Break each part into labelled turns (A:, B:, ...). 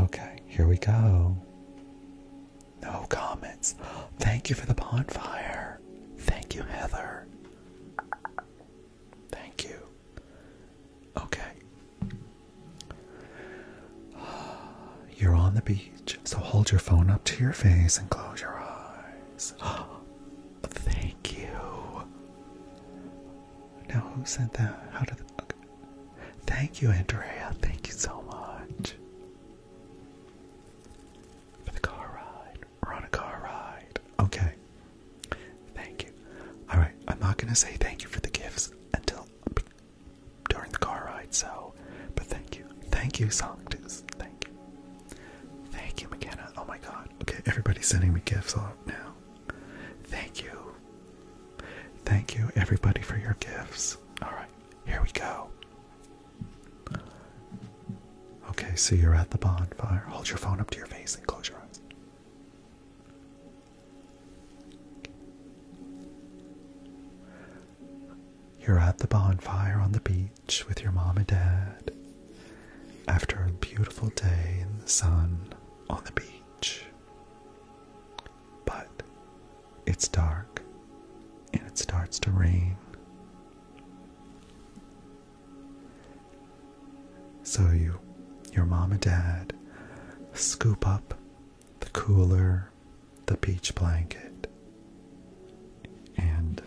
A: Okay, here we go. No comments. Thank you for the bonfire. Thank you, Heather. Thank you. Okay. You're on the beach, so hold your phone up to your face and close your eyes. Thank you. Now, who sent that? How did. Thank you, Andrea. Thank you so much for the car ride. We're on a car ride. Okay. Thank you. All right. I'm not gonna say thank you for the gifts until during the car ride. So, but thank you. Thank you, Sanctus. Thank you. Thank you, McKenna. Oh my God. Okay, everybody's sending me gifts off now. Thank you. Thank you, everybody, for your gifts. All right, here we go. Okay, so you're at the bonfire. Hold your phone up to your face and close your eyes. You're at the bonfire on the beach with your mom and dad after a beautiful day in the sun on the beach. But it's dark and it starts to rain. So you, your mom and dad, scoop up the cooler, the beach blanket, and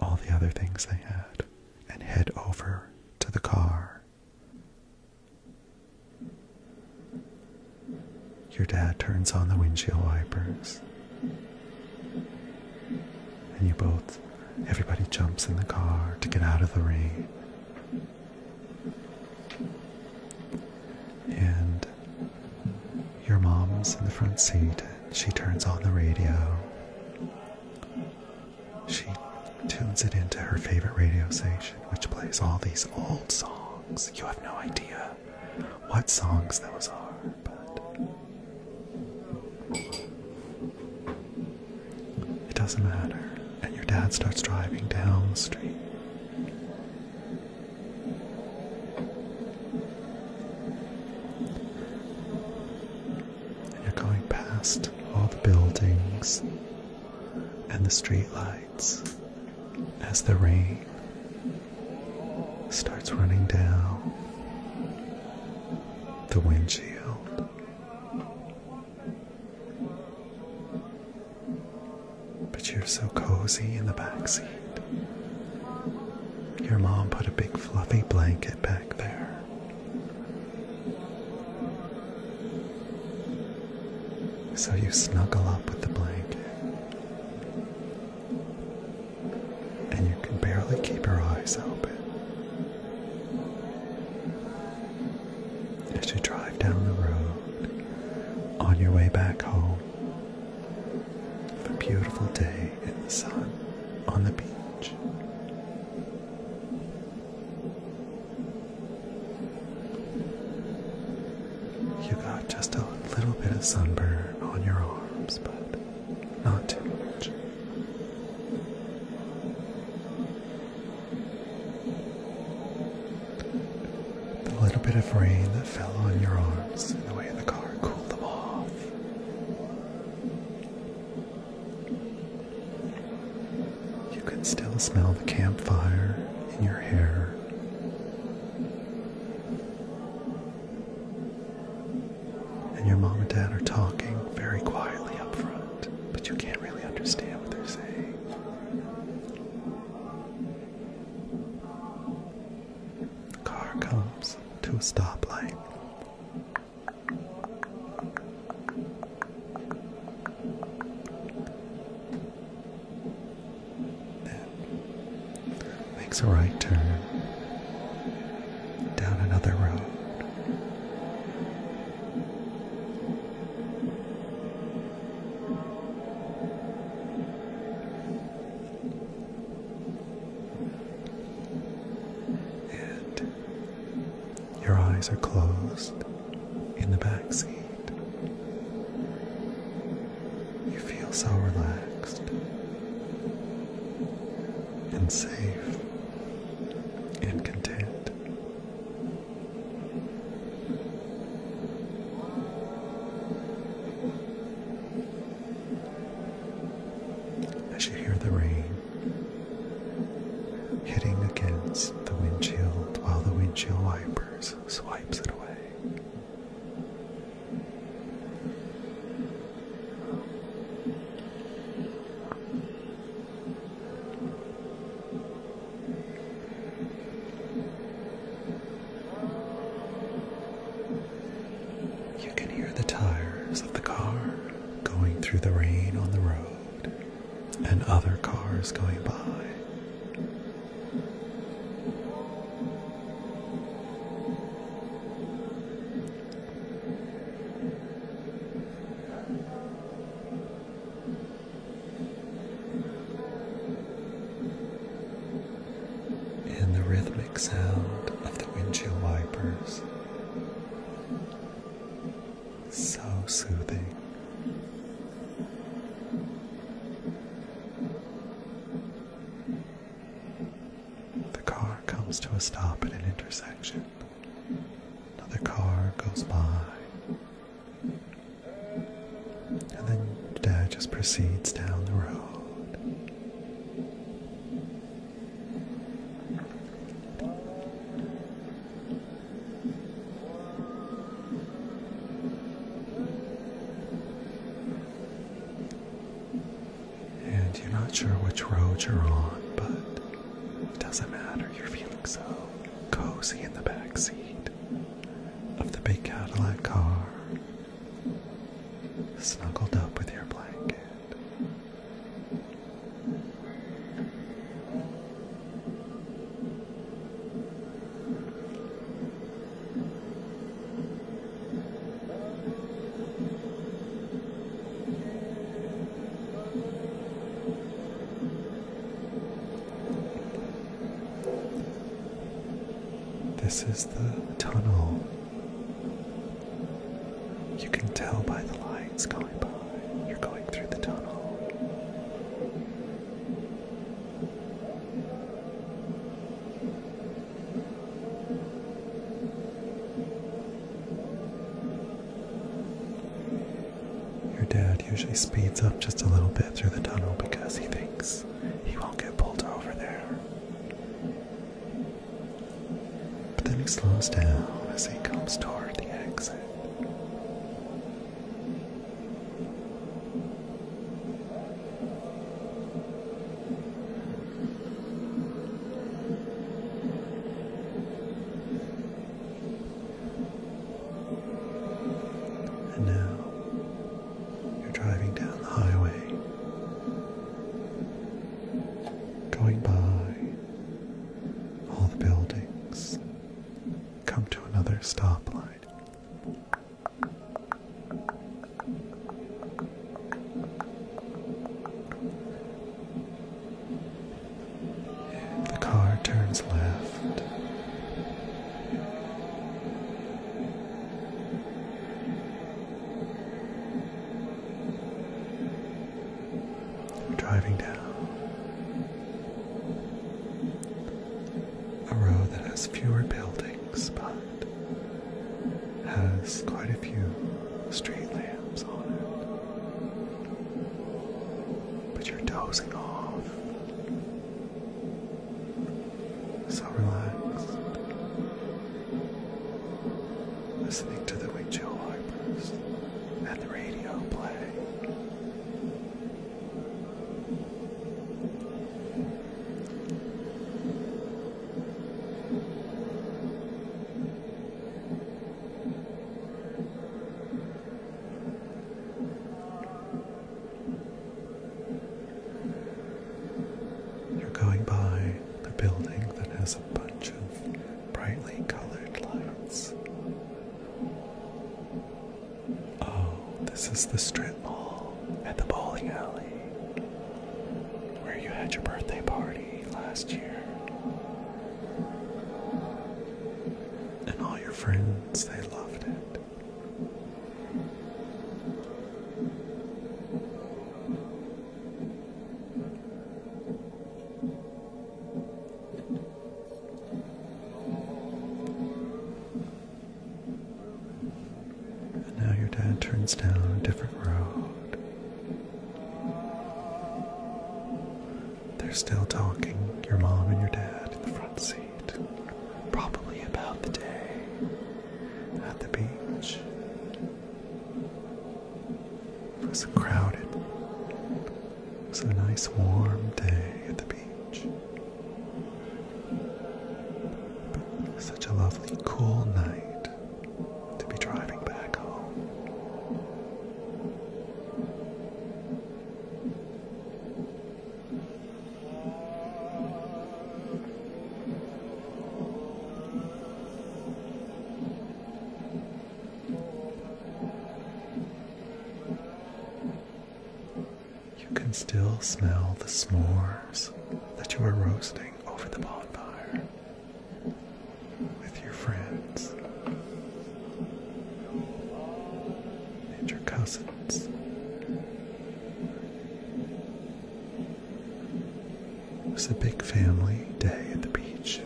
A: all the other things they had and head over to the car. Your dad turns on the windshield wipers. And you both, everybody jumps in the car to get out of the rain. And your mom's in the front seat. She turns on the radio. She tunes it into her favorite radio station, which plays all these old songs. You have no idea what songs those are, but it doesn't matter. And your dad starts driving down the street and you're going past all the buildings and the streetlights as the rain starts running down the windshield. But you're so cozy in the back seat. Your mom put a big fluffy blanket back there. So you snuggle up with the blanket, and you can barely keep your eyes open as you drive down the road on your way back home. A beautiful day in the sun on the beach. You got just a little bit of sunburn on your arms, but not too much. The little bit of rain that fell on your arms in the way in the car cooled them off. You can still smell the campfire in your hair. And your mom and dad are talking very quietly up front, but you can't really understand what they're saying. The car comes to a stoplight makes a right turn down another road. And your eyes are closed in the back seat. You feel so relaxed and safe and content. As you hear the rain hitting against the windshield while the windshield wipers swipes it away. You can hear the tires of the car going through the rain on the road and other cars going by. And the rhythmic sound of the windshield wipers so soothing. The car comes to a stop at an intersection. Another car goes by. And then Dad just proceeds down the road. And you're not sure which road you're on, but it doesn't matter. You're feeling so cozy in the back seat of the big Cadillac car, snuggled up with your blanket. This is the tunnel you can tell by the lights going by. You're going through the tunnel. Your dad usually speeds up just a little bit through the tunnel because he thinks he won't get pulled over there but then he slows down as he comes toward the exit. And now you're driving down the highway going by all the buildings, come to another stoplight. The car turns left driving down a road that has fewer buildings but has quite a few street lamps on it. But you're dozing off. So relaxed listening to the Windchill Harpers and the radio play. You're going by the building that has bunch of brightly colored lights. Oh, this is the strip mall at the bowling alley where you had your birthday party last year. And all your friends, they loved it now your dad turns down a different road. They're still talking, your mom and your dad in the front seat, probably about the day at the beach. It was crowded. It was a nice warm day at the beach. But such a lovely cool night to be driving back home. You can still smell the s'mores that you were roasting over the bonfire with your friends and your cousins. It was a big family day at the beach.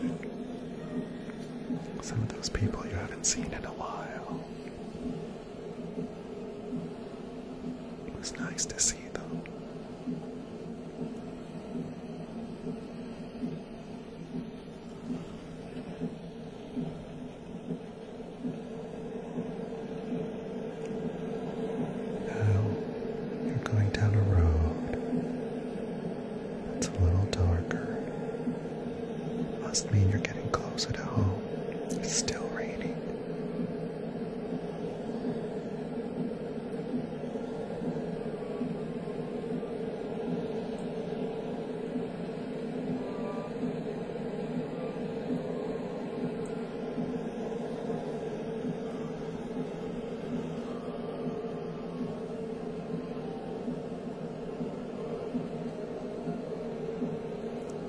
A: Some of those people you haven't seen in a while. It was nice to see them. Now you're going down a road that's a little darker. Must mean you're getting closer to home. It's still raining.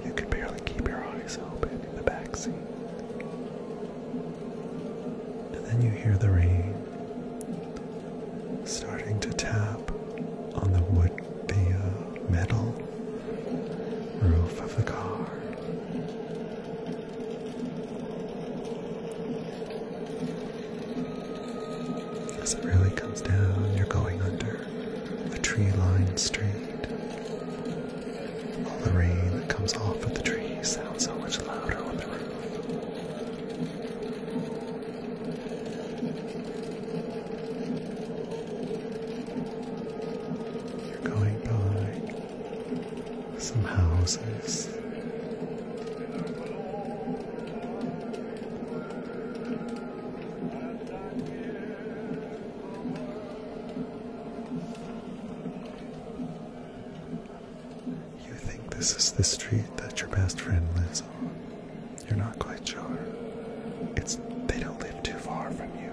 A: You could barely keep your eyes open in the back And then you hear the rain starting to tap on the wood, the uh, metal roof of the car. As it really comes down, you're going under a tree lined street. All the rain that comes off of the trees sounds so much louder on the roof. going by some houses. You think this is the street that your best friend lives on? You're not quite sure. It's they don't live too far from you.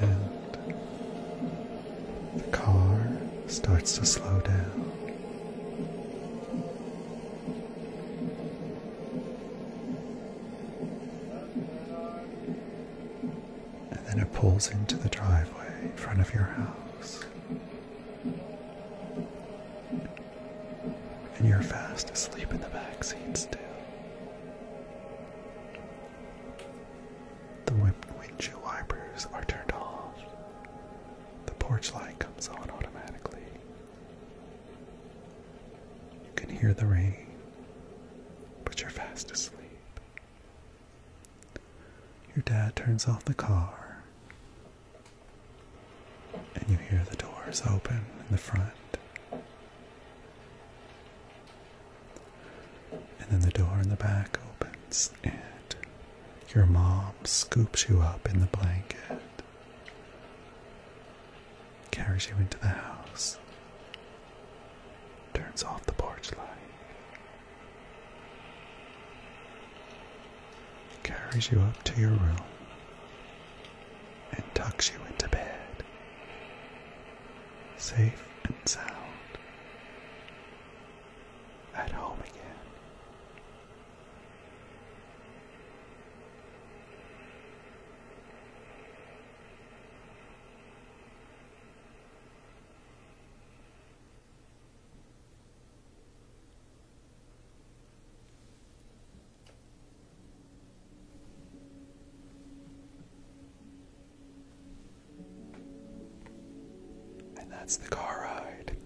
A: And the car starts to slow down. And then it pulls into the driveway in front of your house. And you're fast asleep in the back seat still. The windshield wipers are turned off. The porch light comes on automatically. You can hear the rain, but you're fast asleep. Your dad turns off the car, and you hear the doors open in the front. And then the door in the back opens, and your mom scoops you up in the blanket carries you into the house, turns off the porch light, carries you up to your room, and tucks you into bed, safe and sound, at home again. And that's the car ride.